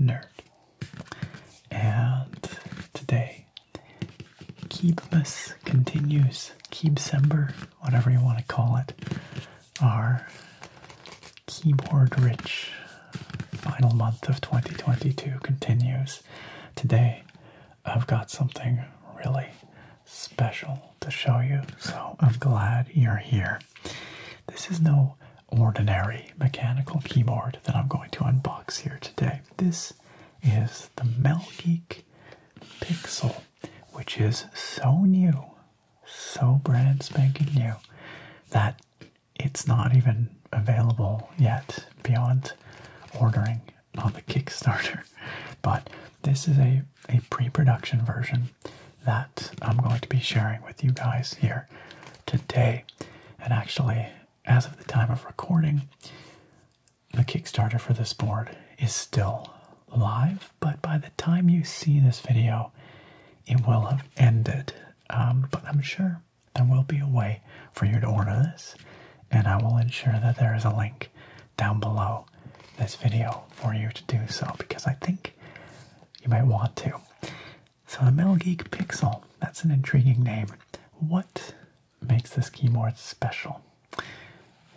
nerd. And today, Keebmas continues. Keebsember, whatever you want to call it, our keyboard rich final month of 2022 continues. Today, I've got something really special to show you, so I'm glad you're here. This is no ordinary mechanical keyboard that I'm going to unbox here today. This is the Melgeek Pixel, which is so new, so brand spanking new, that it's not even available yet beyond ordering on the Kickstarter. But this is a, a pre production version that I'm going to be sharing with you guys here today. And actually, as of the time of recording, the Kickstarter for this board is still live, but by the time you see this video, it will have ended. Um, but I'm sure there will be a way for you to order this, and I will ensure that there is a link down below this video for you to do so because I think you might want to. So the Metal Geek Pixel, that's an intriguing name. What makes this keyboard special?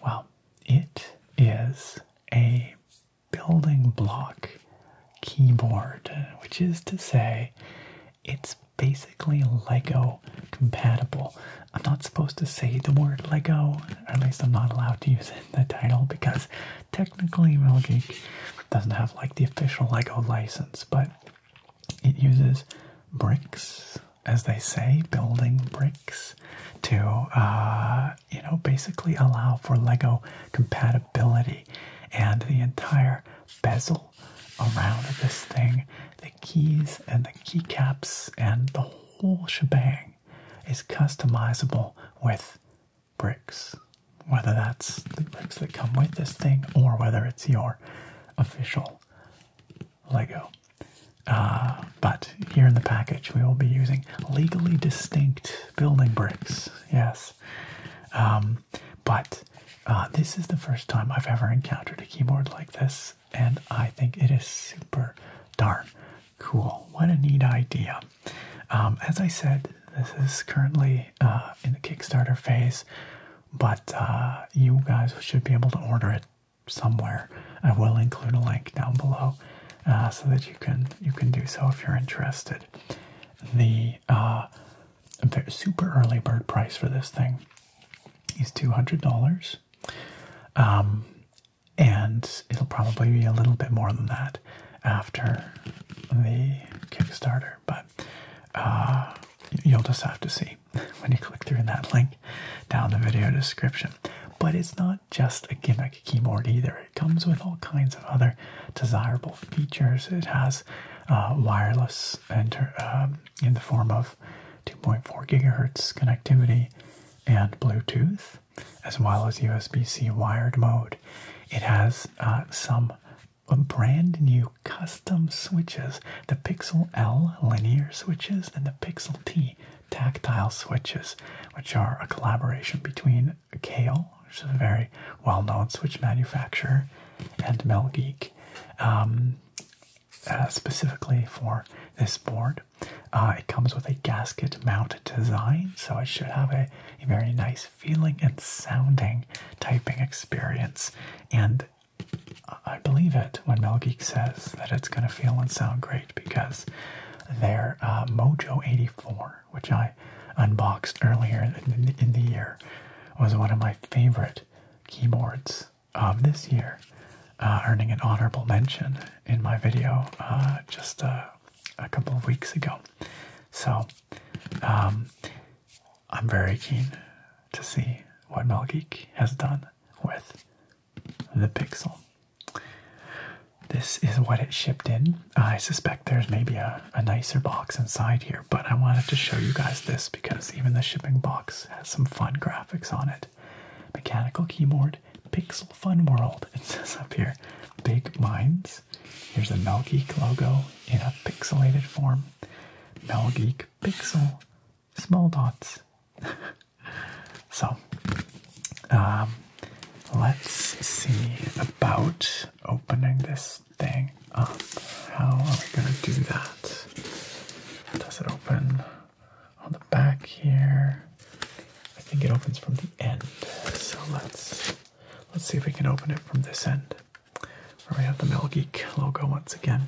Well, it is a building block keyboard, which is to say, it's basically Lego compatible. I'm not supposed to say the word Lego, or at least I'm not allowed to use it in the title because technically MelGeek doesn't have like the official Lego license, but it uses bricks, as they say, building bricks to uh, you know basically allow for Lego compatibility and the entire bezel around this thing, the keys and the keycaps and the whole shebang is customizable with bricks, whether that's the bricks that come with this thing or whether it's your official Lego. Uh, but here in the package, we will be using legally distinct building bricks, yes. Um, but uh, this is the first time I've ever encountered a keyboard like this, and I think it is super darn cool. What a neat idea! Um, as I said, this is currently uh, in the Kickstarter phase, but uh, you guys should be able to order it somewhere. I will include a link down below uh, so that you can you can do so if you're interested. The super early bird price for this thing is two hundred dollars. Um, and it'll probably be a little bit more than that after the Kickstarter, but uh, you'll just have to see when you click through that link down the video description. But it's not just a gimmick keyboard either. It comes with all kinds of other desirable features. It has uh, wireless um, in the form of 2.4 gigahertz connectivity and Bluetooth, as well as USB-C wired mode. It has uh, some brand new custom switches the Pixel L linear switches and the Pixel T tactile switches, which are a collaboration between Kale, which is a very well known switch manufacturer, and Melgeek, um, uh, specifically for this board. Uh, it comes with a gasket mount design, so it should have a very nice feeling, and sounding typing experience. And I believe it when Mel Geek says that it's going to feel and sound great because their uh, Mojo 84, which I unboxed earlier in the, year, was one of my favorite keyboards of this year, uh, earning an honorable mention in my video uh, just a couple of weeks ago. So um, I'm very keen to see what Mal Geek has done with the Pixel. This is what it shipped in. I suspect there's maybe a nicer box inside here, but I wanted to show you guys this because even the shipping box has some fun graphics on it. Mechanical keyboard, Pixel Fun World, it says up here. Big minds, Here's the Mel Geek logo in a pixelated form. Mel Geek Pixel, small dots. so, um, let's see about opening this thing up. How are we going to do that? Does it open on the back here? I think it opens from the end. So let's let's see if we can open it from this end we have the Metal Geek logo once again.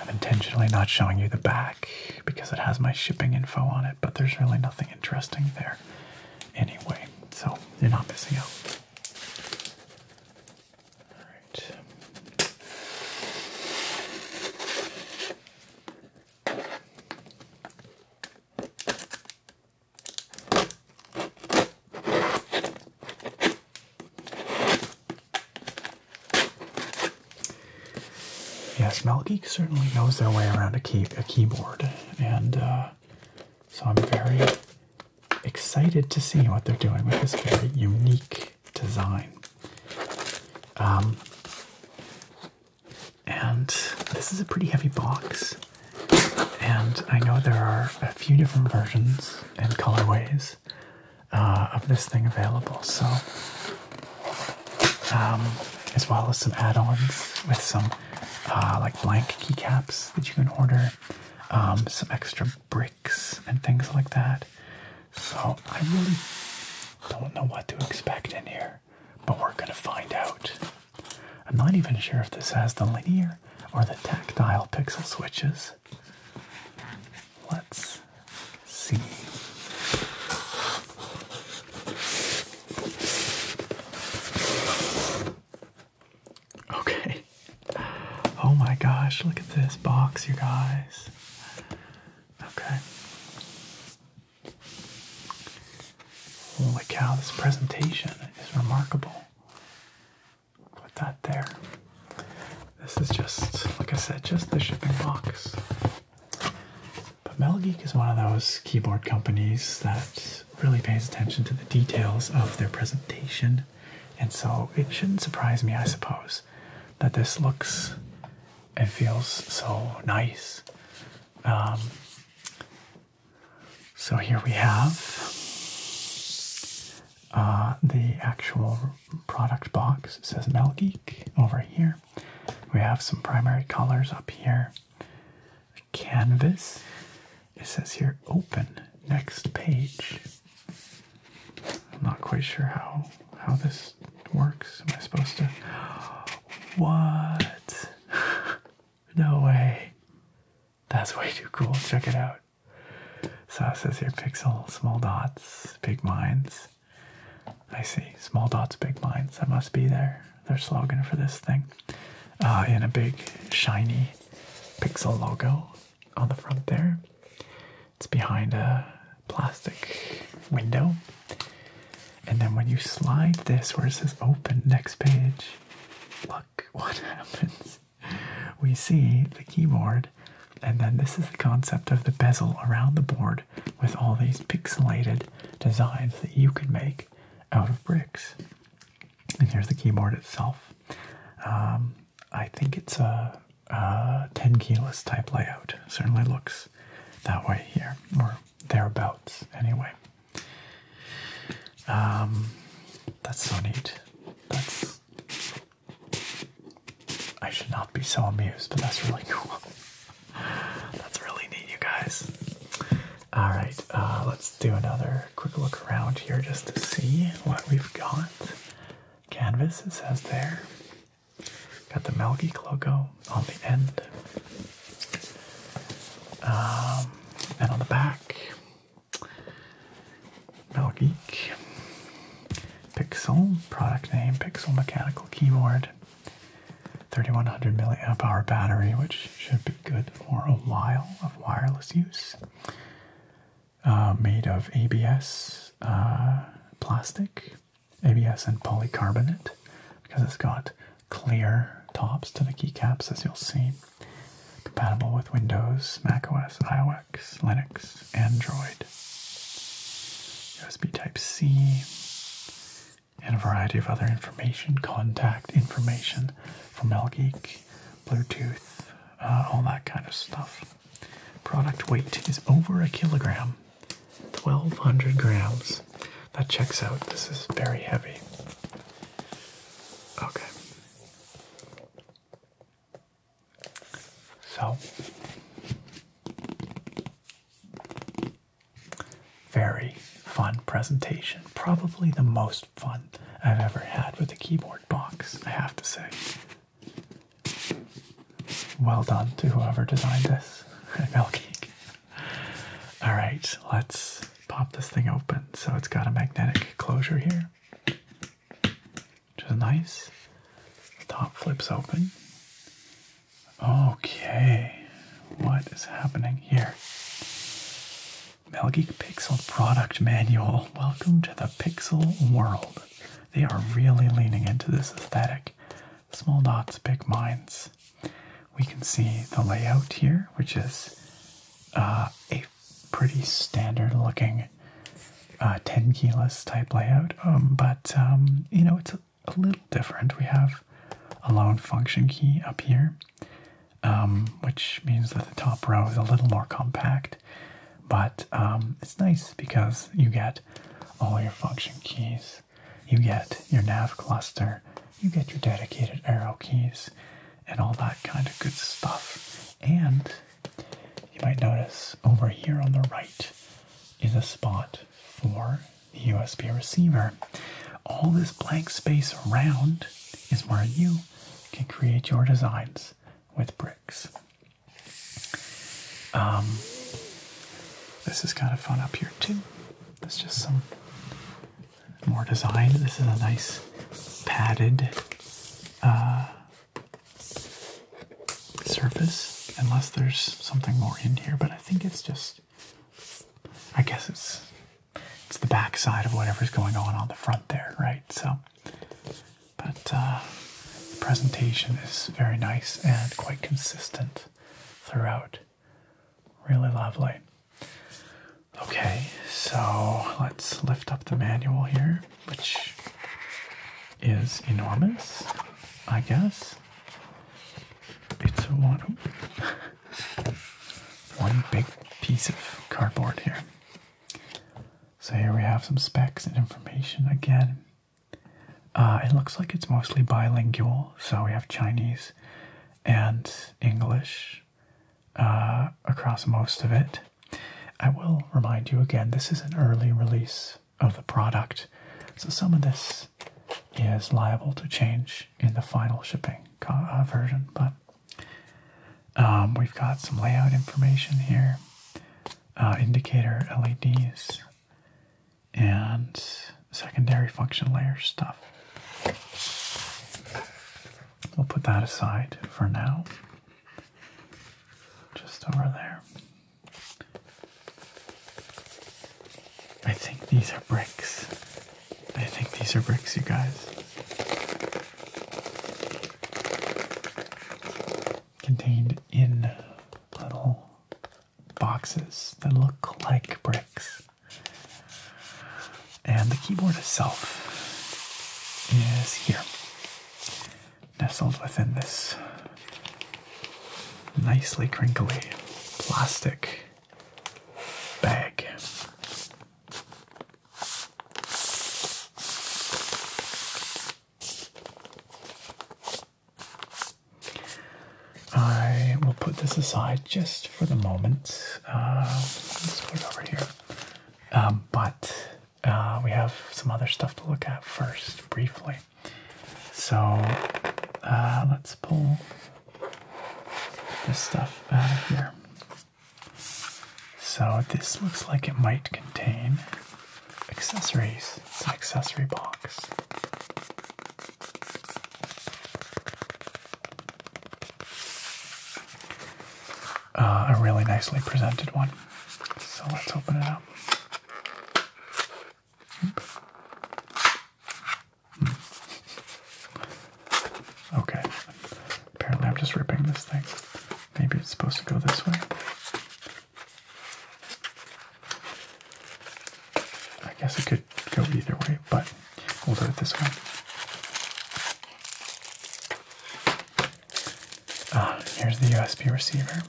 I'm intentionally not showing you the back because it has my shipping info on it, but there's really nothing interesting there anyway, so you're not missing out. Alright. Yes, Mel Geek certainly knows their way around a, key, a keyboard, and uh, so I'm very excited to see what they're doing with this very unique design. Um, and this is a pretty heavy box. And I know there are a few different versions and colorways uh, of this thing available. So, um, as well as some add-ons with some uh, like blank keycaps that you can order, um, some extra bricks and things like that. So I really don't know what to expect in here, but we're gonna find out. I'm not even sure if this has the linear or the tactile pixel switches. Let's see. Okay. Oh my gosh, look at this box, you guys. Okay. Holy cow, this presentation is remarkable. Put that there. This is just, like I said, just the shipping box. But Metal is one of those keyboard companies that really pays attention to the details of their presentation. And so it shouldn't surprise me, I suppose, that this looks and feels so nice. Um, so here we have uh, the actual product box. It says Mel Geek over here. We have some primary colors up here. canvas. It says here open next page. I'm not quite sure how how this works. Am I supposed to? What? no way. That's way too cool. Check it out. So it says here pixel, small dots, big minds. I see. Small dots, big minds. That must be their, their slogan for this thing. in uh, a big, shiny pixel logo on the front there. It's behind a plastic window. And then when you slide this where it says open next page, look what happens we see the keyboard, and then this is the concept of the bezel around the board with all these pixelated designs that you can make out of bricks. And here's the keyboard itself. Um, I think it's a, a 10 keyless type layout. Certainly looks that way here, or thereabouts, anyway. Um, that's so neat. That's. I should not be so amused, but that's really cool. that's really neat, you guys. All right, uh, let's do another quick look around here just to see what we've got. Canvas, it says there. Got the Melgeek logo on the end. Um, and on the back, geek. Pixel, product name, Pixel Mechanical Keyboard. 3100 milliamp hour battery, which should be good for a while of wireless use. Uh, made of ABS uh, plastic, ABS and polycarbonate, because it's got clear tops to the keycaps, as you'll see compatible with Windows, macOS, iOS, Linux, Android, USB Type-C, and a variety of other information, contact information from Elgeek, Bluetooth, uh, all that kind of stuff. Product weight is over a kilogram, 1,200 grams. That checks out. This is very heavy. Okay, so, very fun presentation. Probably the most fun I've ever had with a keyboard box, I have to say. Well done to whoever designed this. Milking. All right, let's pop this thing open. So it's got a magnetic closure here. Just is nice. Top flips open. Okay, what is happening here? Mel Geek Pixel Product Manual. Welcome to the pixel world. They are really leaning into this aesthetic. Small dots, big minds. We can see the layout here, which is uh, a pretty standard looking uh, 10 keyless type layout, um, but um, you know, it's a, little different. We have a lone function key up here, um, which means that the top row is a little more compact, but it's nice because you get all your function keys, you get your nav cluster, you get your dedicated arrow keys, and all that kind of good stuff. And you might notice over here on the right is a spot for the USB receiver. All this blank space around is where you can create your designs with bricks. Um, this is kind of fun up here too. There's just some more design. This is a nice padded uh, surface, unless there's something more in here. But I think it's just, I guess it's it's the back side of whatever's going on on the front there, right? So, but uh, the presentation is very nice and quite consistent throughout. Really lovely. Okay, so let's lift up the manual here, which is enormous, I guess. It's one, one big piece of cardboard here. So here we have some specs and information again. Uh, it looks like it's mostly bilingual, so we have Chinese and English uh, across most of it. I will remind you again, this is an early release of the product, so some of this is liable to change in the final shipping uh, version, but um, we've got some layout information here, uh, indicator LEDs, and secondary function layer stuff. We'll put that aside for now. Just over there. I think these are bricks. I think these are bricks, you guys. Contained in little boxes that look like bricks. And the keyboard itself is here, nestled within this nicely crinkly plastic bag. I will put this aside just for the moment. Uh, let's put it over here. Um, but uh, we have some other stuff to look at first, briefly. So uh, let's pull this stuff out of here. So this looks like it might contain accessories. accessory box. Uh, a really nicely presented one. So let's open it up. Okay, apparently I'm just ripping this thing. Maybe it's supposed to go this way. I guess it could go either way, but we'll do it this way. Uh, here's the USB receiver.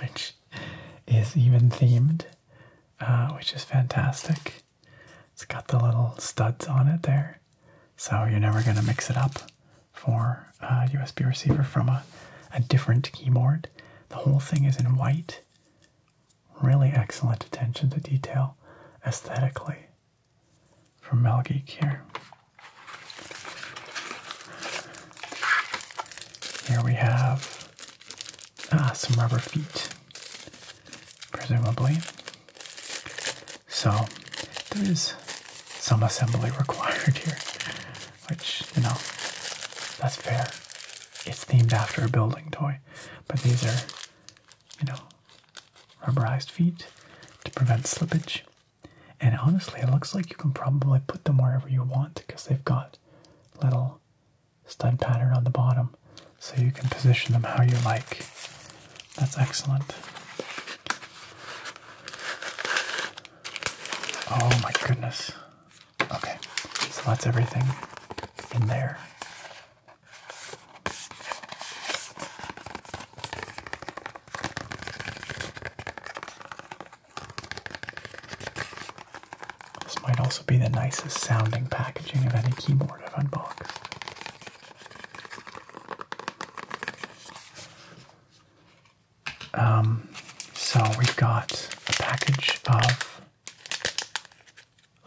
Which is even themed, uh, which is fantastic. It's got the little studs on it there, so you're never going to mix it up for a USB receiver from a, a different keyboard. The whole thing is in white. Really excellent attention to detail aesthetically from Mel here. Here we have ah, some rubber feet, presumably. So there is some assembly required here which, you know, that's fair. It's themed after a building toy, but these are, you know, rubberized feet to prevent slippage. And honestly, it looks like you can probably put them wherever you want because they've got little stud pattern on the bottom so you can position them how you like. That's excellent. Oh my goodness. Okay, so that's everything in there. This might also be the nicest sounding packaging of any keyboard I've unboxed. Um, so we've got a package of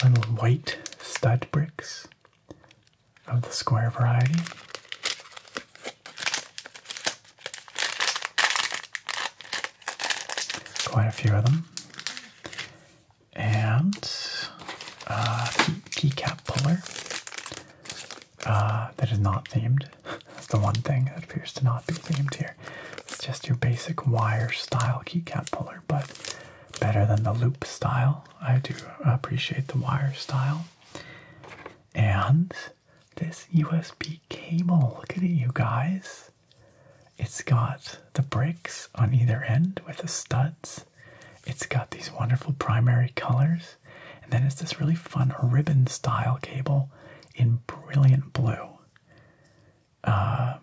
little white stud bricks of the square variety. Quite a few of them. And a uh, keycap puller uh, that is not themed. That's the one thing that appears to not be themed here. It's just your basic wire style keycap puller, but better than the loop style. I do appreciate the wire style. And this USB cable, look at it, you guys. It's got the bricks on either end with the studs. It's got these wonderful primary colors. And then it's this really fun ribbon style cable in brilliant blue. Uh,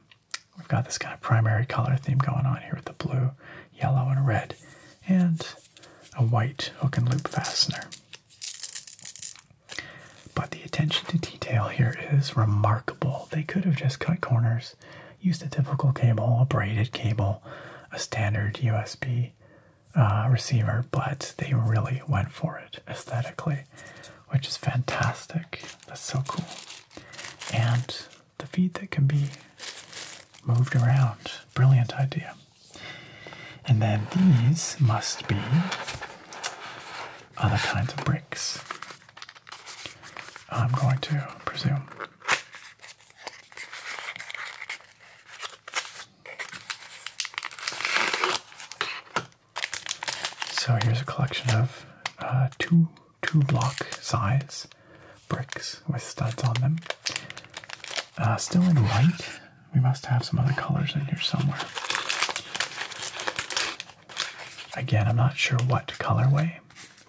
we've got this kind of primary color theme going on here with the blue, yellow, and red, and a white hook and loop fastener. But the attention to detail here is remarkable. They could have just cut corners, used a typical cable, a braided cable, a standard USB uh, receiver, but they really went for it aesthetically which is fantastic. That's so cool. And the feet that can be moved around. Brilliant idea. And then these must be other kinds of bricks. I'm going to presume. So here's a collection of uh, two two block size bricks with studs on them. Uh, still in white. We must have some other colors in here somewhere. Again, I'm not sure what colorway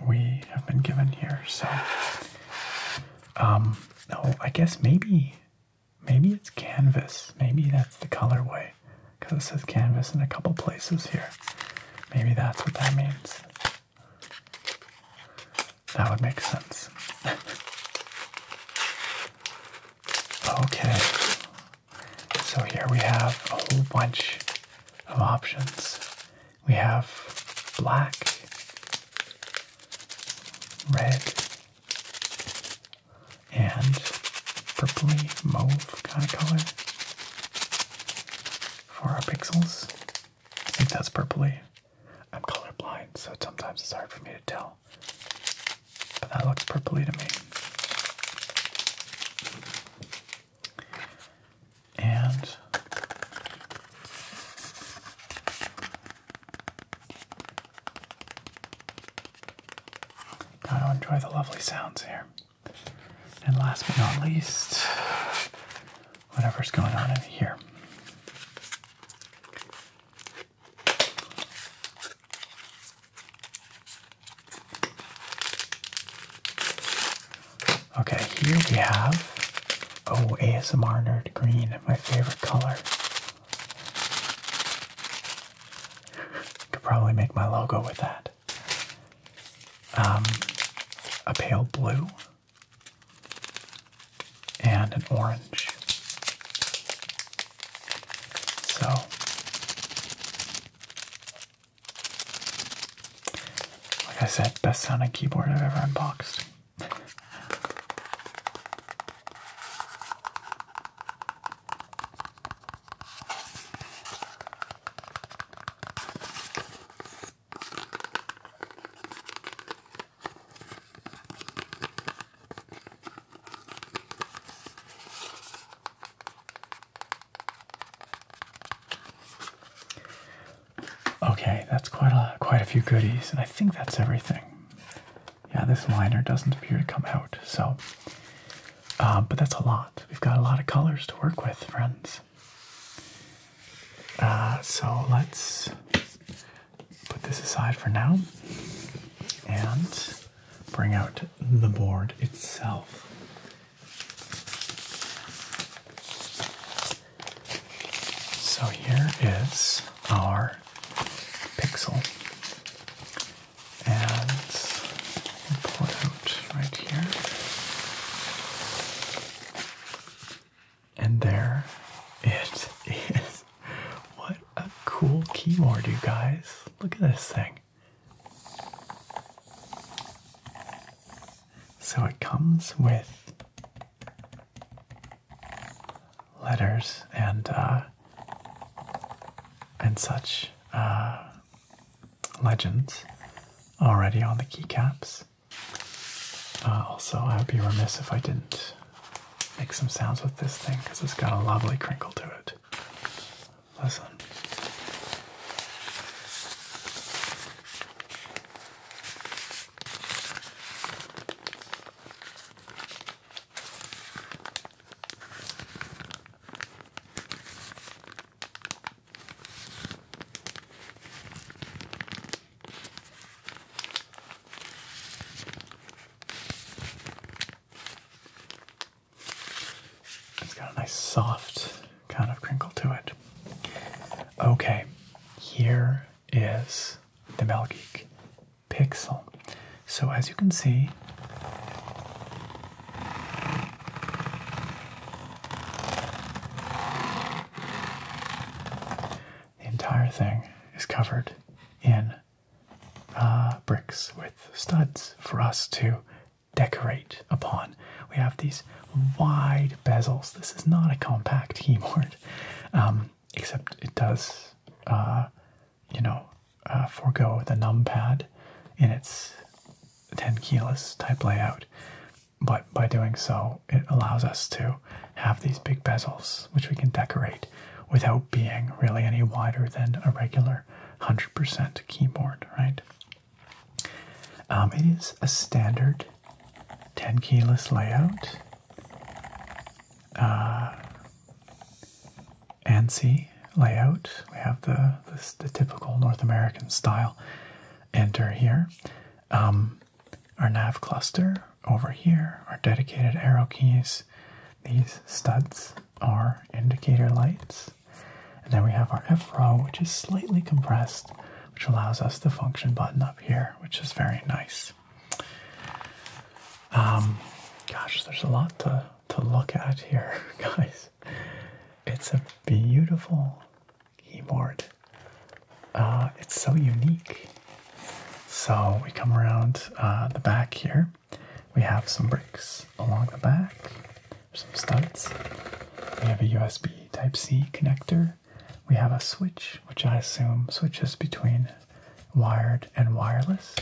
we have been given here. So, um, no, I guess maybe, maybe it's canvas. Maybe that's the colorway because it says canvas in a couple places here. Maybe that's what that means. That would make sense. okay, so here we have a whole bunch of options. We have black, red, and purpley mauve kind of color for our pixels. I think that's purpley. I'm colorblind, so sometimes it's hard for me to tell. But that looks purpley to me. And Got to enjoy the lovely sounds here. And last but not least, whatever's going on in here. Okay, here we have oh ASMR nerd green, my favorite color. Could probably make my logo with that. Um, a pale blue and an orange. So like I said, best sounding keyboard I've ever unboxed. Okay, that's quite a quite a few goodies, and I think that's everything. Yeah, this liner doesn't appear to come out, so uh, but that's a lot. We've got a lot of colors to work with, friends. Uh, so let's put this aside for now and bring out the board itself. So here is our pixel and pull it out right here. And there it is. What a cool keyboard, you guys. Look at this thing. So it comes with letters and uh, and such uh, legends already on the keycaps. Uh, also, I would be remiss if I didn't make some sounds with this thing because it's got a lovely crinkle to it. Listen. It's got a nice soft kind of crinkle to it. Okay, here is the Mel Geek Pixel. So, as you can see, the entire thing is covered in uh, bricks with studs for us to decorate upon. We have these wide bezels. This is not a compact keyboard, um, except it does uh, you know, uh, forego the numpad in its 10 keyless type layout. But by doing so, it allows us to have these big bezels, which we can decorate without being really any wider than a regular 100% keyboard, right? Um, it is a standard 10 keyless layout. Uh, ANSI layout. We have the, the typical North American style enter here. Um, our nav cluster over here, our dedicated arrow keys. These studs are indicator lights. And then we have our F row, which is slightly compressed, which allows us the function button up here, which is very nice. Um, gosh, there's a lot to, to look at here, guys it's a beautiful keyboard. Uh, it's so unique. So we come around uh, the back here. We have some bricks along the back, some studs. We have a USB Type C connector. We have a switch, which I assume switches between wired and wireless.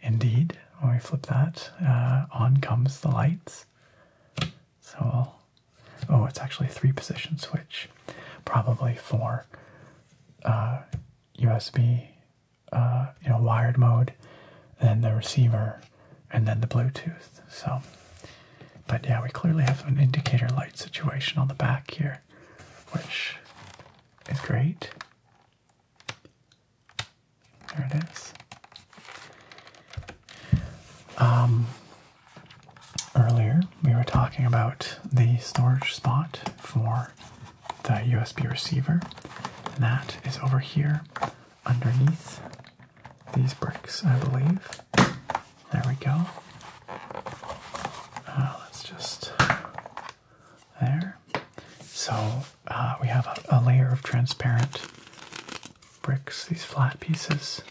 Indeed, when we flip that, uh, on comes the lights. So oh, it's actually three position switch, probably for USB, uh, uh, you know, wired mode, then the receiver, and then the Bluetooth. So, but yeah, we clearly have an indicator light situation on the back here, which is great. There it is. Um, earlier, we were talking about the storage spot for the USB receiver, and that is over here underneath these bricks, I believe. There we go. Uh, let's just there. So uh, we have a layer of transparent bricks, these flat pieces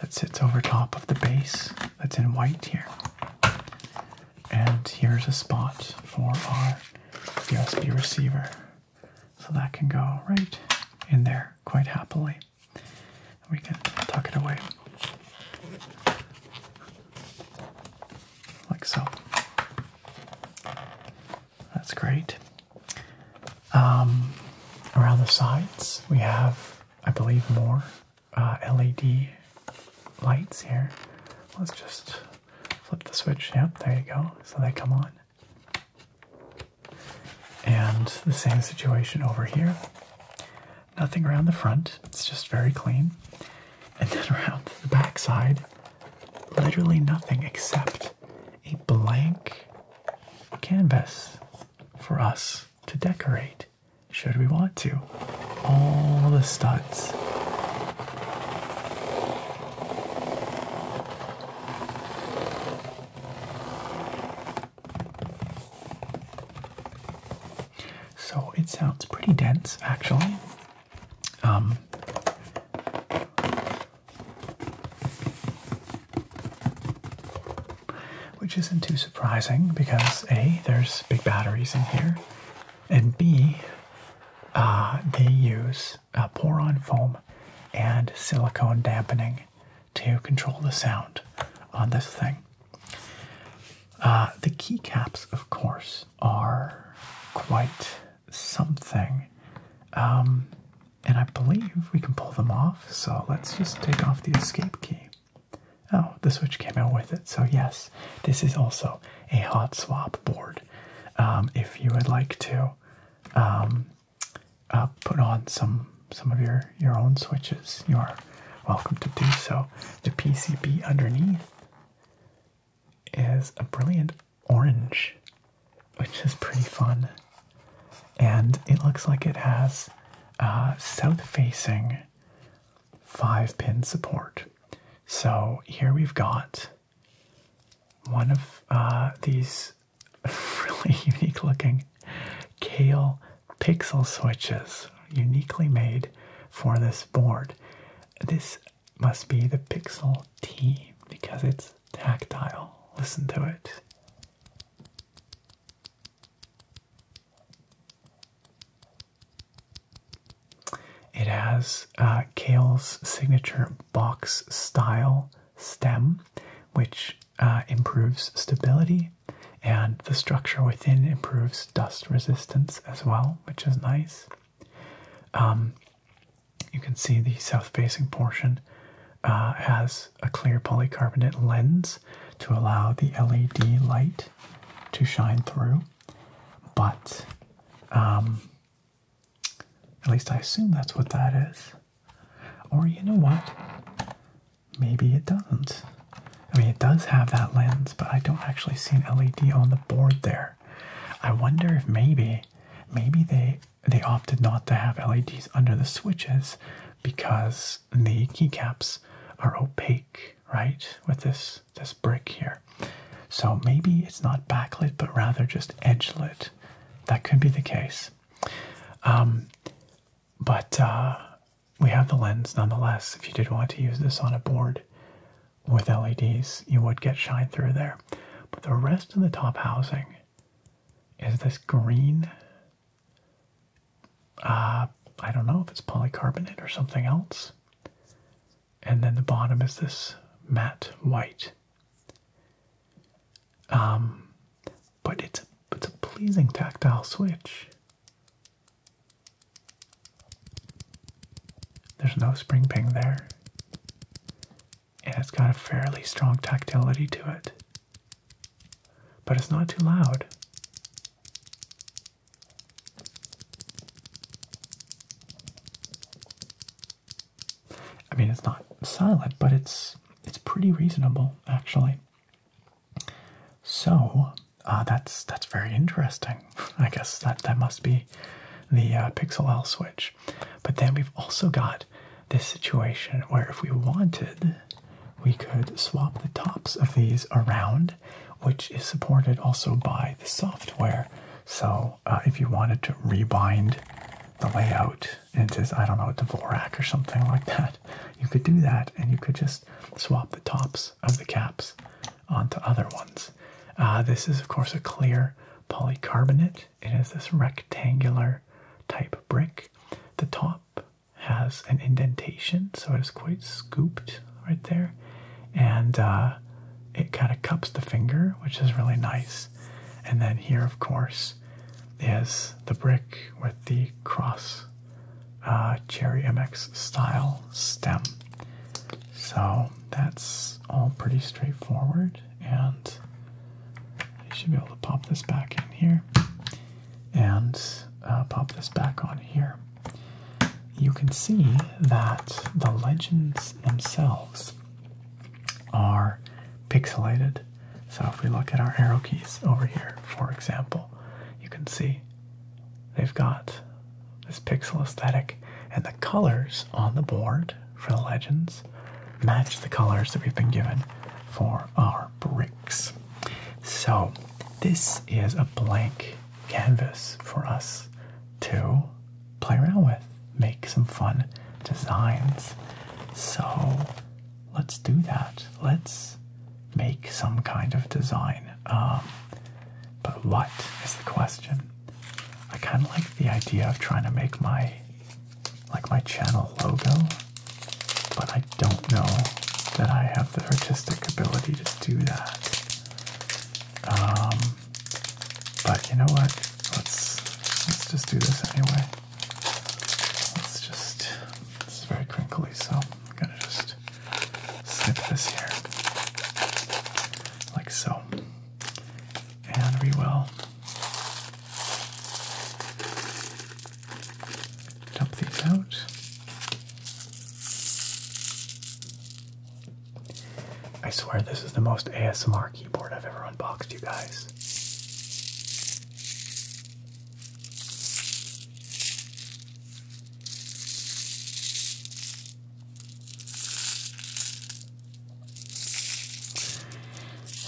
that sits over top of the base that's in white here. And here's a spot for our USB receiver. So that can go right in there quite happily. We can tuck it away like so. That's great. Um, around the sides, we have, I believe, more uh, LED lights here. Let's just flip the switch. Yep, there you go. So they come on. And the same situation over here. Nothing around the front, it's just very clean. And then around the backside literally nothing except a blank canvas for us to decorate should we want to. All the studs. So it sounds pretty dense actually. Um, which isn't too surprising because A, there's big batteries in here, and B, uh, they use a uh, pour on foam and silicone dampening to control the sound on this thing. Uh, the keycaps, of course, are quite something. Um, and I believe we can pull them off, so let's just take off the escape key. Oh, the Switch came out with it, so yes, this is also a hot swap board. Um, if you would like to um, uh, put on some some of your your own switches, you are welcome to do so. The PCB underneath is a brilliant orange, which is pretty fun. And it looks like it has uh, south facing five pin support. So here we've got one of uh, these really unique looking kale pixel switches uniquely made for this board. This must be the Pixel T because it's tactile. Listen to it. It has uh, Kale's signature box style stem, which uh, improves stability, and the structure within improves dust resistance as well, which is nice. Um, you can see the south facing portion uh, has a clear polycarbonate lens to allow the LED light to shine through, but um, at least I assume that's what that is. Or you know what? Maybe it doesn't. I mean, it does have that lens, but I don't actually see an LED on the board there. I wonder if maybe, maybe they they opted not to have LEDs under the switches because the keycaps are opaque, right? With this this brick here, so maybe it's not backlit but rather just edge lit. That could be the case. Um, but uh, we have the lens nonetheless. If you did want to use this on a board, with LEDs, you would get shine through there. But the rest of the top housing is this green. Uh, I don't know if it's polycarbonate or something else. And then the bottom is this matte white. Um, but it's it's a pleasing tactile switch. There's no spring ping there and it's got a fairly strong tactility to it. But it's not too loud. I mean, it's not silent, but it's it's pretty reasonable actually. So uh, that's that's very interesting. I guess that that must be the uh, Pixel L switch. But then we've also got this situation where if we wanted, we could swap the tops of these around, which is supported also by the software. So uh, if you wanted to rebind the layout into, I don't know, Dvorak or something like that, you could do that and you could just swap the tops of the caps onto other ones. Uh, this is, of course, a clear polycarbonate it. has this rectangular type brick. The top has an indentation, so it is quite scooped right there. And uh, it kind of cups the finger, which is really nice. And then here, of course, is the brick with the cross uh, Cherry MX style stem. So that's all pretty straightforward and I should be able to pop this back in here and uh, pop this back on here. You can see that the legends themselves are pixelated. So if we look at our arrow keys over here, for example, you can see they've got this pixel aesthetic and the colors on the board for the legends match the colors that we've been given for our bricks. So, this is a blank canvas for us to play around with, make some fun designs. So, let's do that. Let's make some kind of design. Um, but what is the question? I kind of like the idea of trying to make my like my channel logo, but I don't know that I have the artistic ability to do that. Um, but you know what? Let's let's just do this anyway. Let's just. This is very crinkly, so I'm gonna just snip this here, like so and we will dump these out. I swear this is the most ASMR keyboard I've ever unboxed, you guys.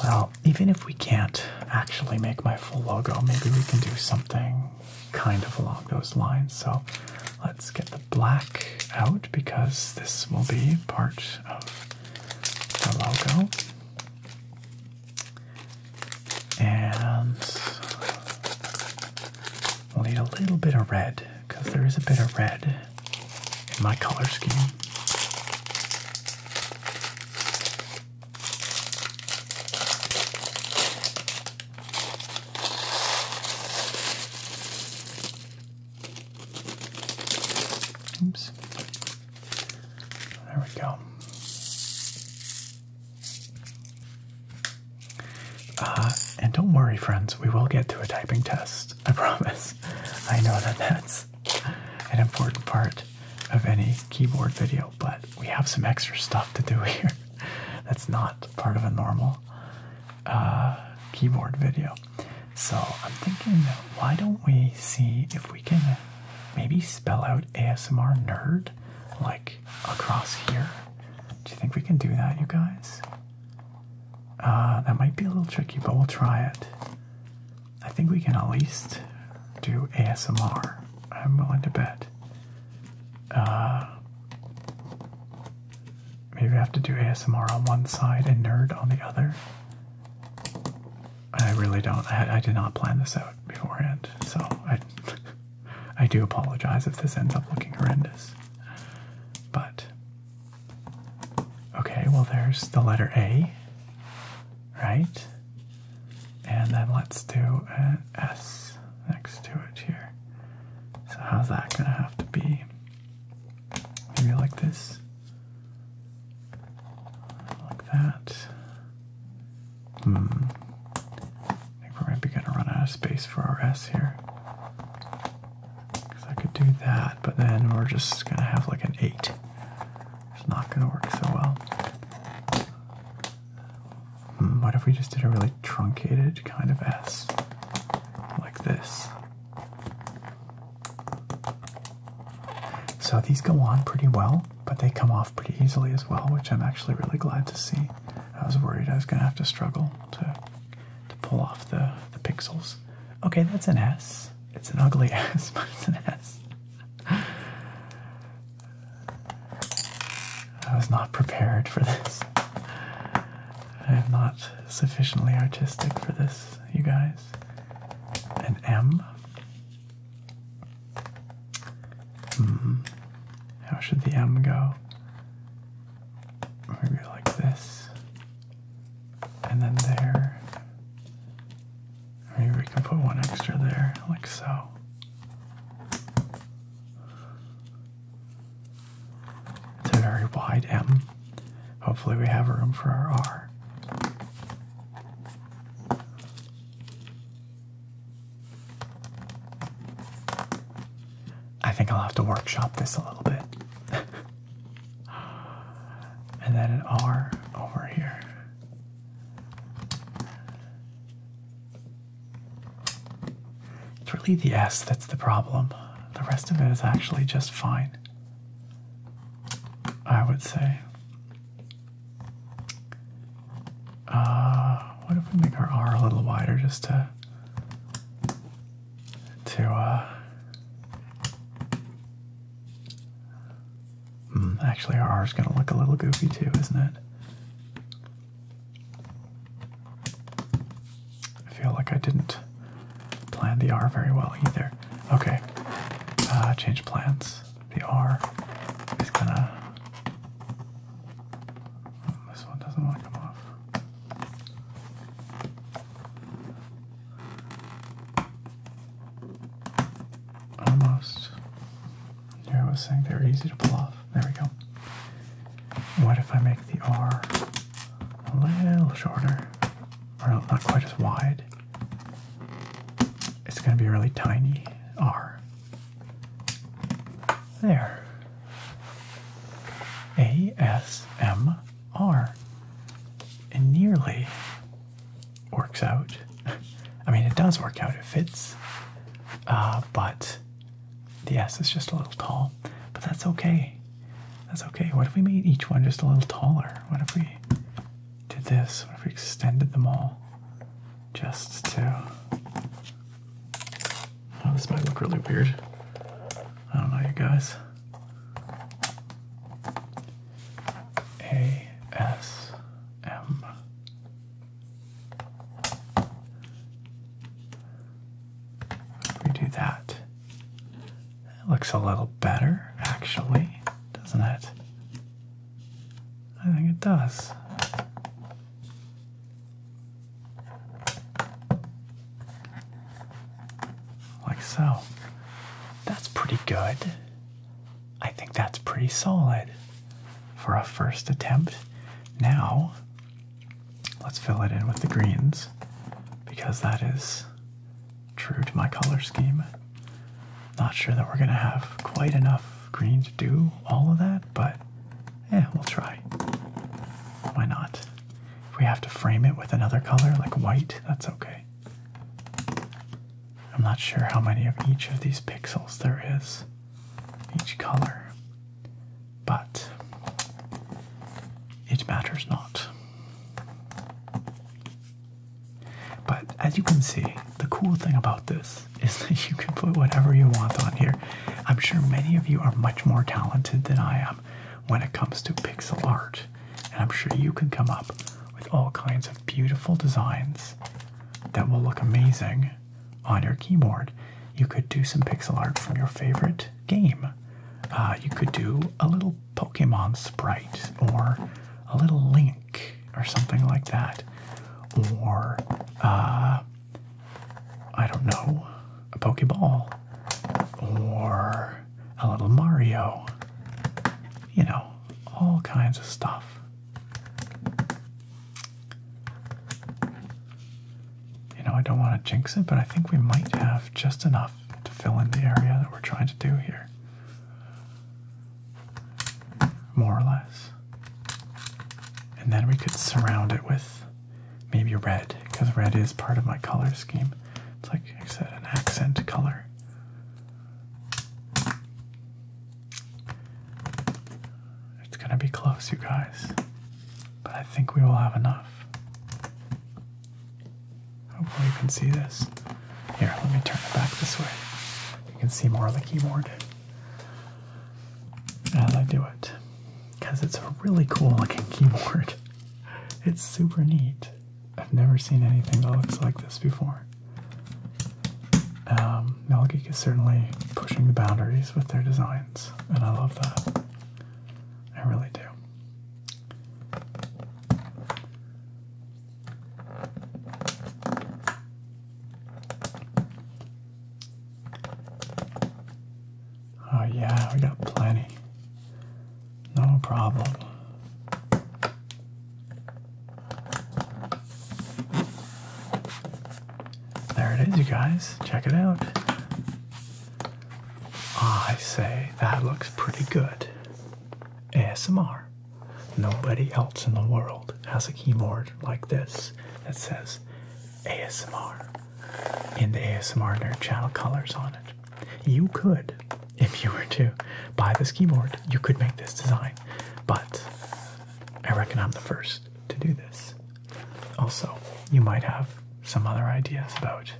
Well, even if we can't actually make my full logo, maybe we can do something kind of along those lines. So let's get the black out because this will be part of the logo. And we'll need a little bit of red because there is a bit of red in my color scheme. Oops. There we go. Uh, and don't worry, friends, we will get to a typing test. I promise. I know that that's an important part of any keyboard video, but we have some extra stuff to do here that's not part of a normal uh, keyboard video. So I'm thinking, why don't we see if we can maybe spell out ASMR nerd like across here? Do you think we can do that, you guys? Uh, that might be a little tricky, but we'll try it. I think we can at least do ASMR. I'm willing to bet. Uh, maybe I have to do ASMR on one side and nerd on the other. I really don't. I, I did not plan this out beforehand, so I, I do apologize if this ends up looking horrendous. But Okay, well, there's the letter A, right? And then let's do an S next to it here. So, how's that gonna have to be? Maybe like this, like that. Hmm. I think we might be gonna run out of space for our S here. Because I could do that, but then we're just going to have like an 8. It's not going to work so well. Hmm, what if we just did a really truncated kind of S? Like this. So these go on pretty well, but they come off pretty easily as well, which I'm actually really glad to see. I was worried I was going to have to struggle to, to pull off the, the pixels. Okay, that's an S. It's an ugly ass, but it's an ass. I was not prepared for this. I am not sufficiently artistic for this, you guys. An M? Mm-hmm. How should the M go? Maybe like this and then there. Maybe we can put one extra there, like so. It's a very wide M. Hopefully, we have room for our R. I think I'll have to workshop this a little bit. and then an R over here. It's really the S that's the problem. The rest of it is actually just fine, I would say. Uh, what if we make our R a little wider just to to uh Hmm. actually, our is gonna look a little goofy too, isn't it? I feel like I didn't plan the R very well either. Okay, uh, change plans. The R is gonna. This one doesn't want to come off. Almost. Yeah, I was saying they're easy to pull off. There we go. What if I make the R a little shorter? Or not quite as wide. It's going to be a really tiny R. There. ASMR. And nearly works out. I mean, it does work out, it fits. Uh, but the S is just a little tall. But that's okay. That's okay. What if we made each one just a little taller? What if we did this? What if we extended them all just to. Oh, this might look really weird. I don't know, you guys. A S M. If we do that, it looks a little better, actually, doesn't it? I think it does like so. That's pretty good. I think that's pretty solid for a first attempt. Now, let's fill it in with the greens because that is true to my color scheme. Not sure that we're gonna have quite enough green to do all of that, but yeah, we'll try. Why not? If we have to frame it with another color like white, that's okay. I'm not sure how many of each of these pixels there is, each color, but it matters not. But as you can see, the cool thing about this is that you can put whatever you want on here. I'm sure many of you are much more talented than I am when it comes to pixel art and I'm sure you can come up with all kinds of beautiful designs that will look amazing on your keyboard. You could do some pixel art from your favorite game. Uh, you could do a little Pokemon sprite or a little Link or something like that. Or, uh, I don't know, a Pokeball. Or a uh, little Mario, you know, all kinds of stuff. You know, I don't want to jinx it, but I think we might have just enough to fill in the area that we're trying to do here. More or less. And then we could surround it with maybe red, because red is part of my color scheme. It's like I said, an accent color. It's gonna be close, you guys, but I think we will have enough. Hopefully, you can see this. Here, let me turn it back this way. You can see more of the keyboard as I do it because it's a really cool looking keyboard. It's super neat. I've never seen anything that looks like this before. Um, Melgeek is certainly pushing the boundaries with their designs, and I love that. I really do. Oh, yeah, we got plenty. No problem. There it is, you guys. Check it out. I say that looks pretty good. ASMR. Nobody else in the world has a keyboard like this that says ASMR in the ASMR Nerd Channel colors on it. You could, if you were to buy this keyboard, you could make this design, but I reckon I'm the first to do this. Also, you might have some other ideas about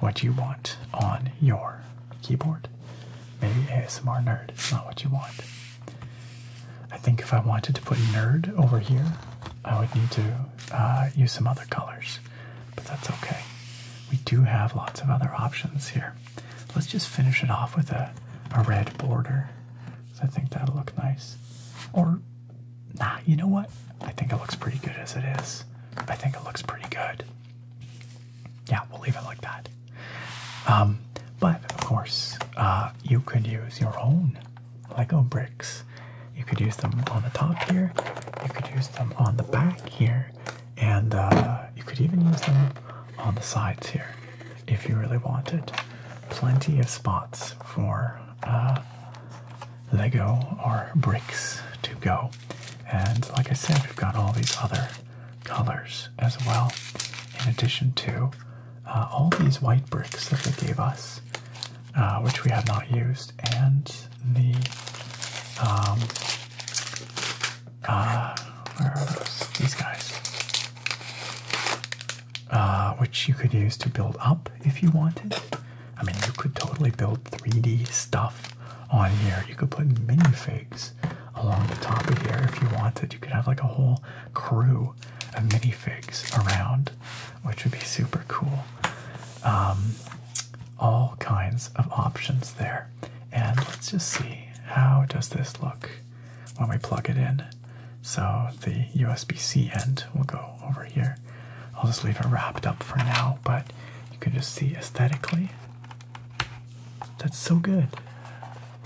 what you want on your keyboard. Maybe ASMR nerd is not what you want. I think if I wanted to put nerd over here, I would need to uh, use some other colors, but that's okay. We do have lots of other options here. Let's just finish it off with a, a red border. I think that'll look nice. Or, nah, you know what? I think it looks pretty good as it is. I think it looks pretty good. Yeah, we'll leave it like that. Um, but of course, uh, you could use your own Lego bricks. You could use them on the top here. You could use them on the back here and uh, you could even use them on the sides here if you really wanted. Plenty of spots for uh, Lego or bricks to go. And like I said, we've got all these other colors as well, in addition to uh, all these white bricks that they gave us, which we have not used, and the um, uh, These guys. Uh, which you could use to build up if you wanted. I mean, you could totally build 3D stuff on here. You could put minifigs along the top of here if you wanted. You could have like a whole crew of minifigs around, which would be super cool. Um, all kinds of options there. And let's just see, how does this look when we plug it in? So the USB-C end will go over here. I'll just leave it wrapped up for now, but you can just see aesthetically. That's so good.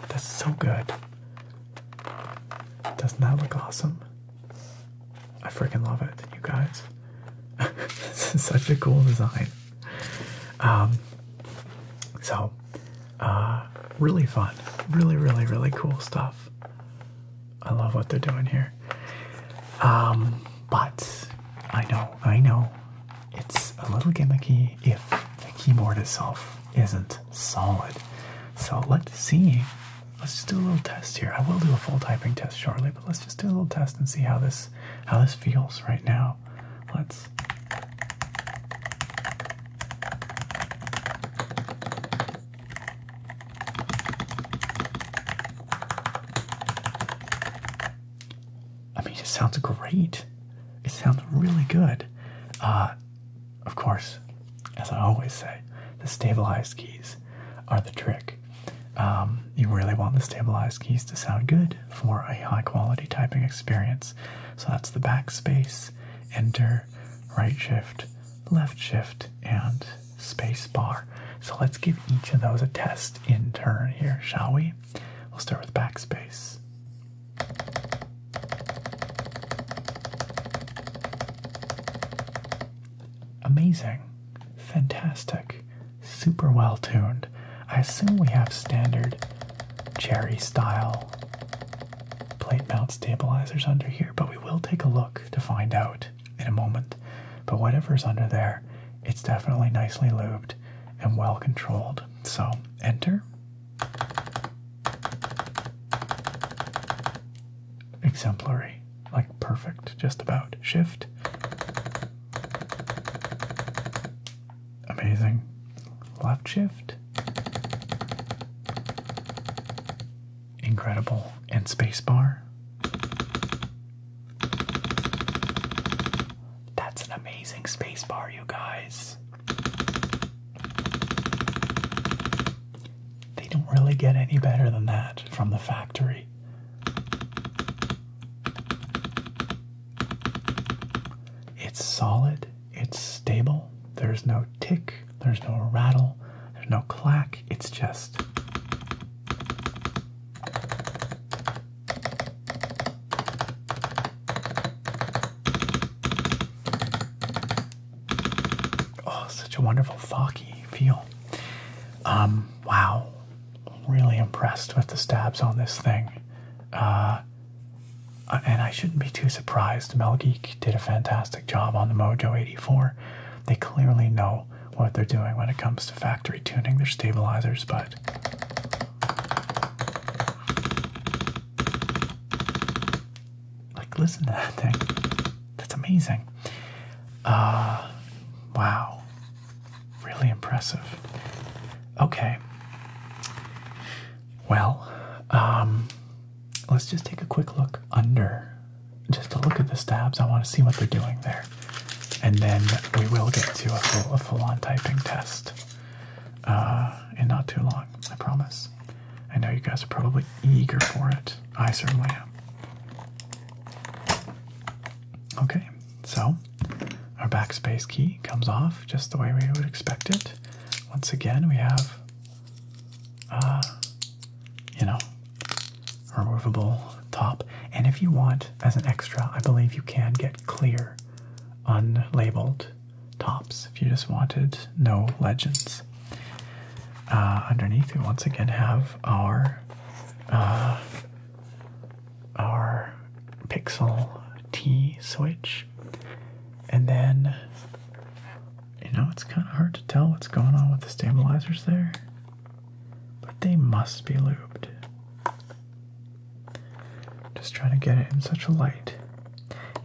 That's so good. Doesn't that look awesome? I freaking love it, you guys. this is such a cool design um, so uh, really fun really really really cool stuff i love what they're doing here um, but i know i know it's a little gimmicky if the keyboard itself isn't solid so let's see let's just do a little test here i will do a full typing test shortly but let's just do a little test and see how this how this feels right now let's I mean, it sounds great. It sounds really good. Uh, of course, as I always say, the stabilized keys are the trick. Um, you really want the stabilized keys to sound good for a high quality typing experience. So that's the backspace, enter, right shift, left shift, and space bar. So let's give each of those a test in turn here, shall we? We'll start with backspace. Amazing. Fantastic super well tuned. I assume we have standard cherry style plate mount stabilizers under here, but we will take a look to find out in a moment. But whatever's under there, it's definitely nicely lubed and well controlled. So enter. Exemplary, like perfect, just about. Shift. Amazing. Left shift. Incredible. And spacebar. That's an amazing spacebar, you guys. They don't really get any better than that from the factory. It's solid, it's stable, there's no tick, there's no rattle, there's no clack, it's just. Oh, such a wonderful foggy feel. Um, wow really impressed with the stabs on this thing. Uh, uh, and I shouldn't be too surprised. Mel Geek did a fantastic job on the Mojo 84. They clearly know what they're doing when it comes to factory tuning their stabilizers, but like listen to that thing. That's amazing. Uh, wow. Really impressive. Okay. Well, um, let's just take a quick look under just to look at the stabs. I want to see what they're doing there. And then we will get to a full, a full on typing test and uh, not too long, I promise. I know you guys are probably eager for it. I certainly am. Okay. So our backspace key comes off just the way we would expect it. Once again, we have, uh, you know, removable top. And if you want, as an extra, I believe you can get clear, unlabeled tops if you just wanted no legends. Uh, underneath, we once again have our uh, our Pixel T switch. And then, you know, it's kind of hard to tell what's going on with the stabilizers there, but they must be lubed. Just trying to get it in such a light.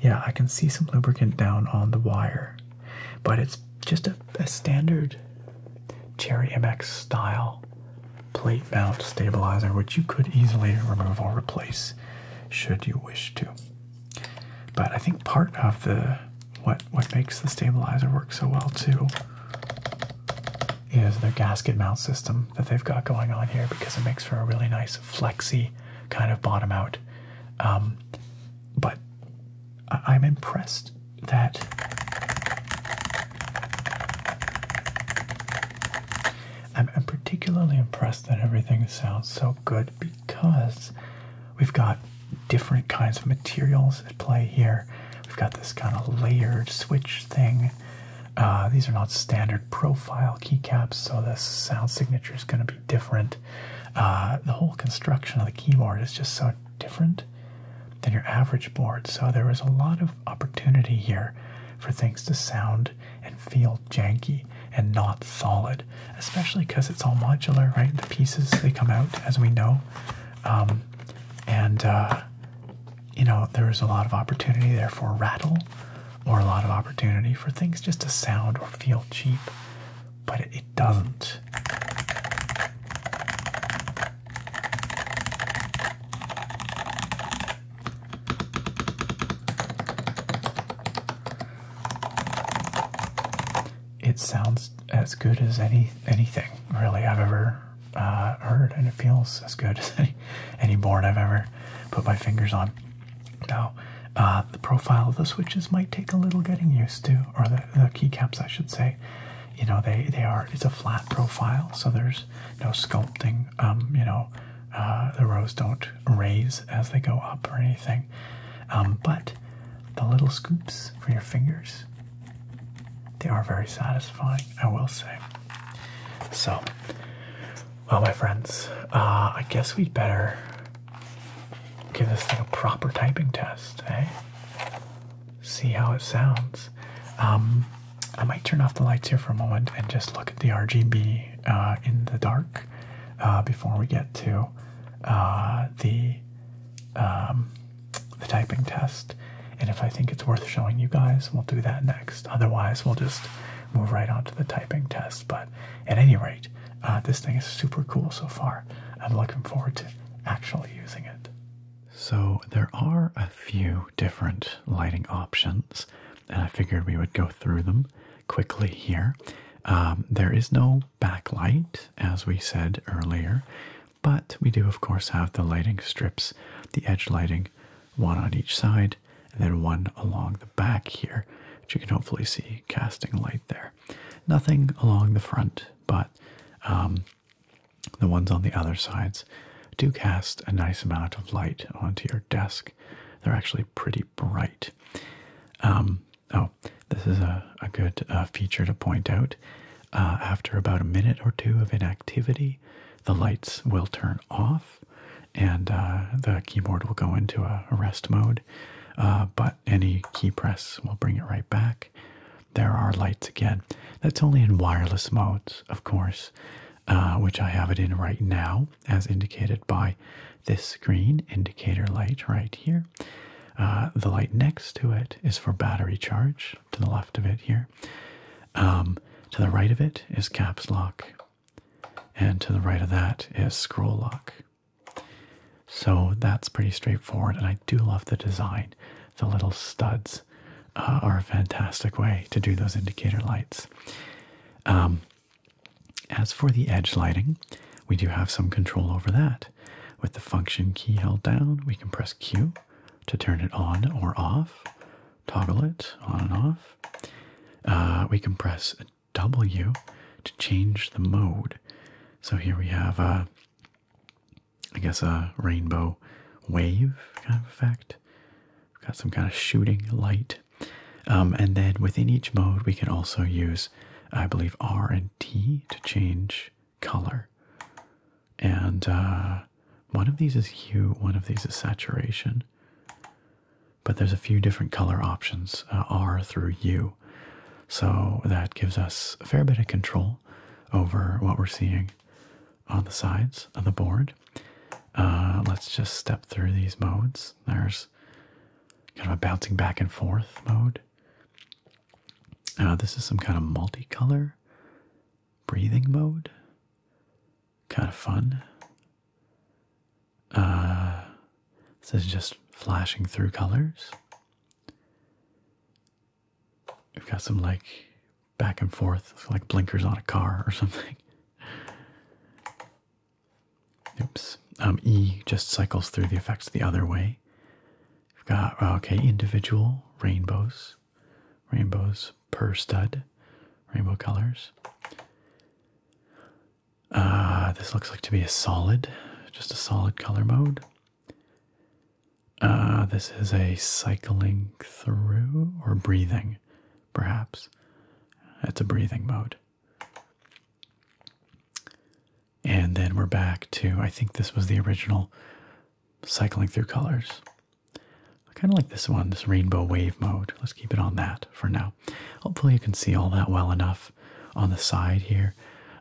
Yeah, I can see some lubricant down on the wire, but it's just a, a standard Cherry MX style plate mount stabilizer, which you could easily remove or replace should you wish to. But I think part of the what what makes the stabilizer work so well too is their gasket mount system that they've got going on here because it makes for a really nice flexy kind of bottom out. Um, but I'm impressed that I'm, particularly impressed that everything sounds so good because we've got different kinds of materials at play here. We've got this kind of layered switch thing. Uh, these are not standard profile keycaps, so the sound signature is going to be different. Uh, the whole construction of the keyboard is just so different than your average board, so there is a lot of opportunity here for things to sound and feel janky and not solid, especially because it's all modular, right? The pieces they come out as we know, um, and uh, you know there is a lot of opportunity there for rattle, or a lot of opportunity for things just to sound or feel cheap, but it doesn't. It sounds as good as any anything really I've ever uh, heard, and it feels as good as any board I've ever put my fingers on. Now, uh, the profile of the switches might take a little getting used to, or the, the keycaps, I should say. You know, they they are it's a flat profile, so there's no sculpting um, you know, uh, the rows don't raise as they go up or anything. Um, but the little scoops for your fingers, they are very satisfying, I will say. So, well, my friends, uh, I guess we'd better give this thing a proper typing test, eh? See how it sounds. Um, I might turn off the lights here for a moment and just look at the RGB uh, in the dark uh, before we get to uh, the um, the typing test. And if I think it's worth showing you guys, we'll do that next. Otherwise, we'll just move right on to the typing test. But at any rate, this thing is super cool so far. I'm looking forward to actually using it. So there are a few different lighting options and I figured we would go through them quickly here. Um, there is no backlight, as we said earlier, but we do, of course, have the lighting strips, the edge lighting, one on each side, and then one along the back here, which you can hopefully see casting light there. Nothing along the front, but um, the ones on the other sides do cast a nice amount of light onto your desk. They're actually pretty bright. Um, oh, this is a, good uh, feature to point out. Uh, after about a minute or two of inactivity, the lights will turn off and uh, the keyboard will go into a rest mode. but any key press will bring it right back. There are lights again. That's only in wireless modes, of course. Uh, which I have it in right now, as indicated by this green indicator light right here. Uh, the light next to it is for battery charge, to the left of it here. Um, to the right of it is caps lock, and to the right of that is scroll lock. So that's pretty straightforward, and I do love the design. The little studs uh, are a fantastic way to do those indicator lights. Um, as for the edge lighting, we do have some control over that. With the function key held down, we can press Q to turn it on or off, toggle it on and off. Uh, we can press W to change the mode. So here we have, a, uh, I guess, a rainbow wave kind of effect. We've got some kind of shooting light um, and then within each mode, we can also use, I believe, R and T to change color. And uh, one of these is hue, one of these is saturation. But there's a few different color options, uh, R through U. So that gives us a fair bit of control over what we're seeing on the sides of the board. Uh, let's just step through these modes. There's kind of a bouncing back and forth mode. Uh, this is some kind of multicolor breathing mode. Kind of fun. Uh, this is just flashing through colors. We've got some like back and forth, like blinkers on a car or something. Oops. Um, e just cycles through the effects the other way. We've got, uh, okay, individual rainbows, rainbows per stud, rainbow colors. Uh, this looks like to be a solid, just a solid color mode. Uh, this is a cycling through or breathing perhaps. it's a breathing mode. And then we're back to, I think this was the original cycling through colors. I kind of like this one, this rainbow wave mode. Let's keep it on that for now. Hopefully you can see all that well enough on the side here.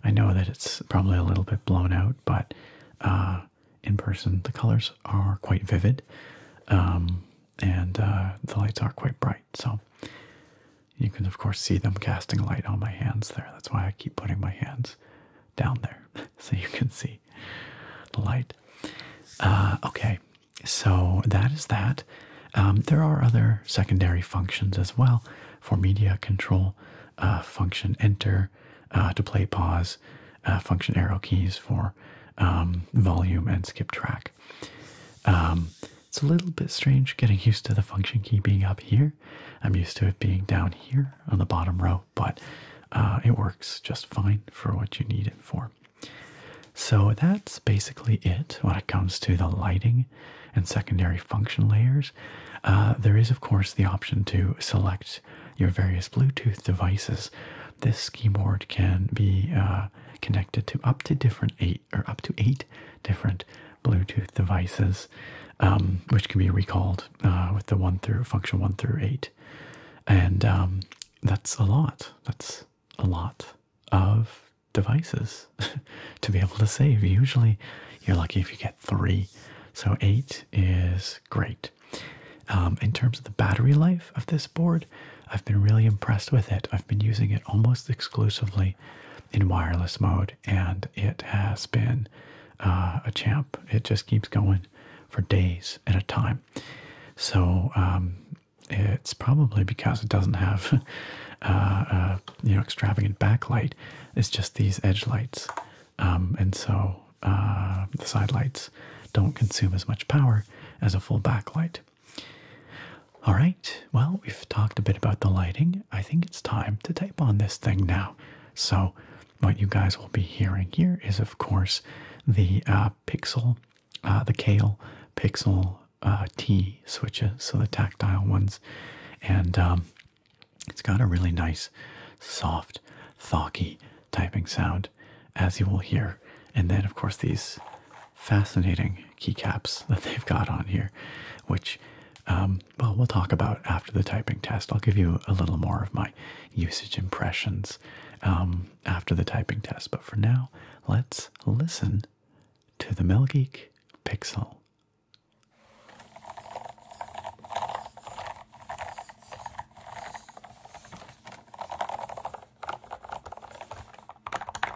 I know that it's probably a little bit blown out, but uh, in person the colors are quite vivid. Um, and uh, the lights are quite bright. So you can, of course, see them casting light on my hands there. That's why I keep putting my hands down there so you can see the light. Uh, okay, so that is that. Um, there are other secondary functions as well for media control uh, function enter to play pause, function arrow keys for um, volume and skip track. Um, it's a little bit strange getting used to the function key being up here. I'm used to it being down here on the bottom row, but uh, it works just fine for what you need it for. So that's basically it when it comes to the lighting and secondary function layers. Uh, there is, of course, the option to select your various Bluetooth devices this ski board can be uh, connected to up to different eight or up to eight different Bluetooth devices, um, which can be recalled uh, with the one through function one through eight, and um, that's a lot. That's a lot of devices to be able to save. Usually, you're lucky if you get three. So eight is great. Um, in terms of the battery life of this board, I've been really impressed with it. I've been using it almost exclusively in wireless mode, and it has been uh, a champ. It just keeps going for days at a time. So um, it's probably because it doesn't have, uh, uh, you know, extravagant backlight. It's just these edge lights, um, and so the side lights don't consume as much power as a full backlight. All right, well, we've talked a bit about the lighting. I think it's time to tape on this thing now. So, what you guys will be hearing here is, of course, the uh, Pixel, uh, the Kale Pixel uh, T switches, so the tactile ones. And um, it's got a really nice, soft, thocky typing sound as you will hear. And then, of course, these fascinating keycaps that they've got on here, which, um, well, we'll talk about after the typing test. I'll give you a little more of my usage impressions um, after the typing test. But for now, let's listen to the MelGeek Pixel.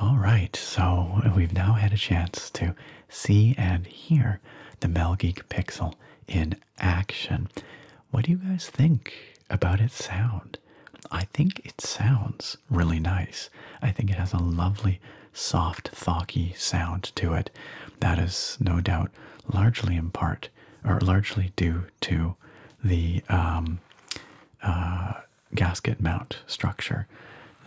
All right, so we've now had a chance to see and hear the Mel Geek Pixel in action. What do you guys think about its sound? I think it sounds really nice. I think it has a lovely, soft, thocky sound to it. That is no doubt largely in part or largely due to the um, uh, gasket mount structure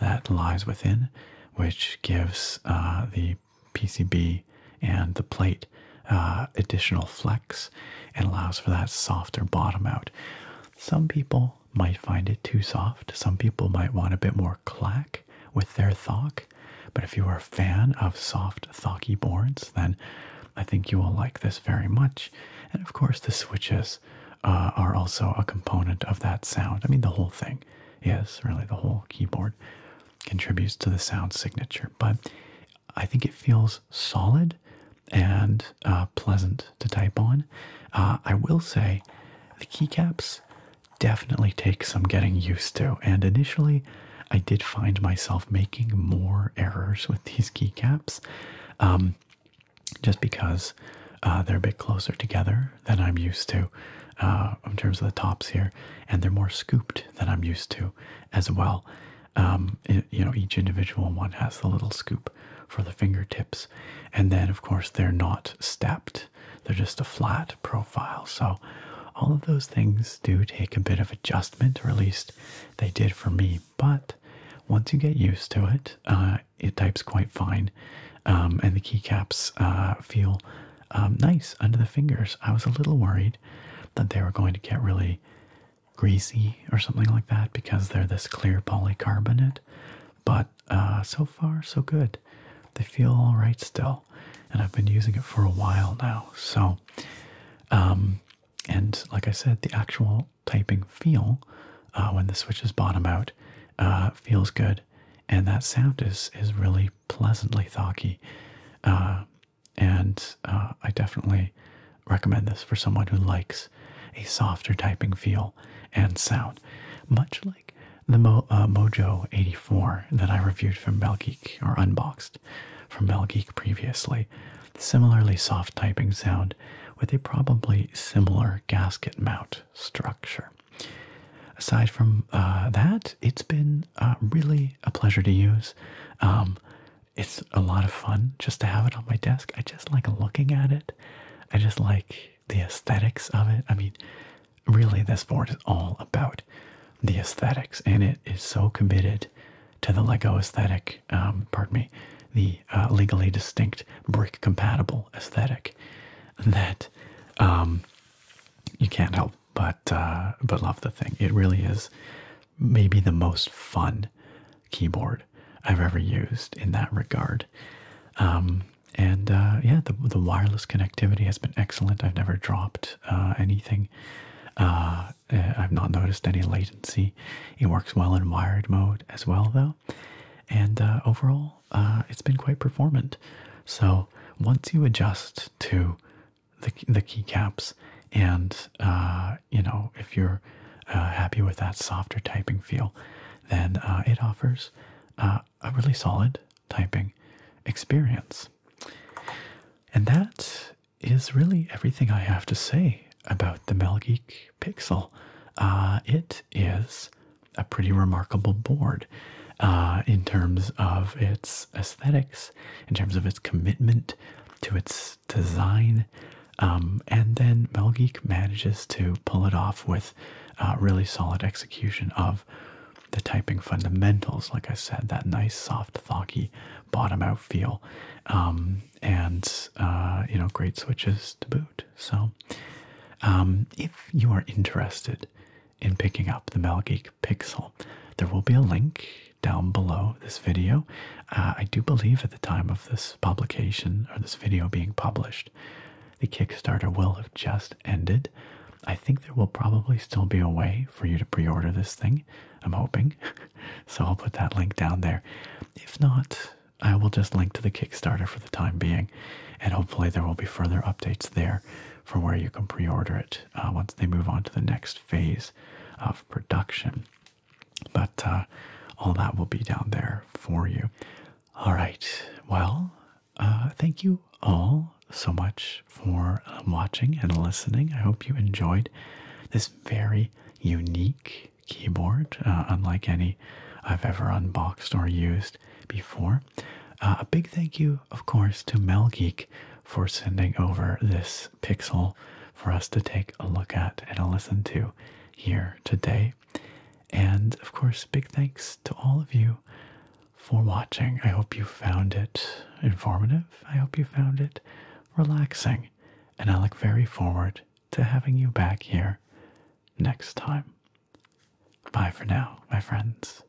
that lies within, which gives uh, the PCB and the plate uh, additional flex and allows for that softer bottom out. Some people might find it too soft. Some people might want a bit more clack with their thock. But if you are a fan of soft thocky boards, then I think you will like this very much. And of course, the switches uh, are also a component of that sound. I mean, the whole thing is really the whole keyboard contributes to the sound signature, but I think it feels solid and uh, pleasant to type on. Uh, I will say the keycaps definitely take some getting used to, and initially I did find myself making more errors with these keycaps um, just because uh, they're a bit closer together than I'm used to. in terms of the tops here, and they're more scooped than I'm used to as well. Um, you know, each individual one has the little scoop for the fingertips, and then of course they're not stepped; they're just a flat profile. So, all of those things do take a bit of adjustment, or at least they did for me. But once you get used to it, uh, it types quite fine, um, and the keycaps uh, feel um, nice under the fingers. I was a little worried that they were going to get really greasy or something like that because they're this clear polycarbonate, but uh, so far, so good. They feel all right still, and I've been using it for a while now. So, um, and like I said, the actual typing feel uh, when the switch is bottom out uh, feels good, and that sound is is really pleasantly thocky and uh, I definitely recommend this for someone who likes a softer typing feel and sound, much like the Mo uh, Mojo 84 that I reviewed from Belgeek or unboxed from Belgeek previously. Similarly soft typing sound with a probably similar gasket mount structure. Aside from uh, that, it's been uh, really a pleasure to use. Um, it's a lot of fun just to have it on my desk. I just like looking at it. I just like the aesthetics of it. I mean, really, this board is all about the aesthetics, and it is so committed to the Lego aesthetic. Um, pardon me, the uh, legally distinct brick compatible aesthetic that um, you can't help but uh, but love the thing. It really is maybe the most fun keyboard I've ever used in that regard. Um, and uh, yeah, the the wireless connectivity has been excellent. I've never dropped uh, anything. Eh, I've not noticed any latency. It works well in wired mode as well, though. And overall, it's been quite performant. So once you adjust to the, the keycaps and uh, you know if you're uh, happy with that softer typing feel then uh, it offers a really solid typing experience and that is really everything i have to say about the melgeek pixel it is a pretty remarkable board in terms of its aesthetics in terms of its commitment to its design. Um, and then Mel Geek manages to pull it off with uh, really solid execution of the typing fundamentals. Like I said, that nice, soft, thocky bottom out feel. Um, and, uh, you know, great switches to boot. So, um, if you are interested in picking up the Mel Geek Pixel, there will be a link down below this video. Uh, I do believe at the time of this publication or this video being published, the Kickstarter will have just ended. I think there will probably still be a way for you to pre order this thing. I'm hoping. so I'll put that link down there. If not, I will just link to the Kickstarter for the time being, and hopefully there will be further updates there for where you can pre order it uh, once they move on to the next phase of production. But uh, all that will be down there for you. All right. Well, uh, thank you all so much for um, watching and listening. I hope you enjoyed this very unique keyboard, uh, unlike any I've ever unboxed or used before. a big thank you, of course, to Mel Geek for sending over this pixel for us to take a look at and a listen to here today. And of course, big thanks to all of you for watching. I hope you found it informative. I hope you found it relaxing. And I look very forward to having you back here next time. Bye for now, my friends.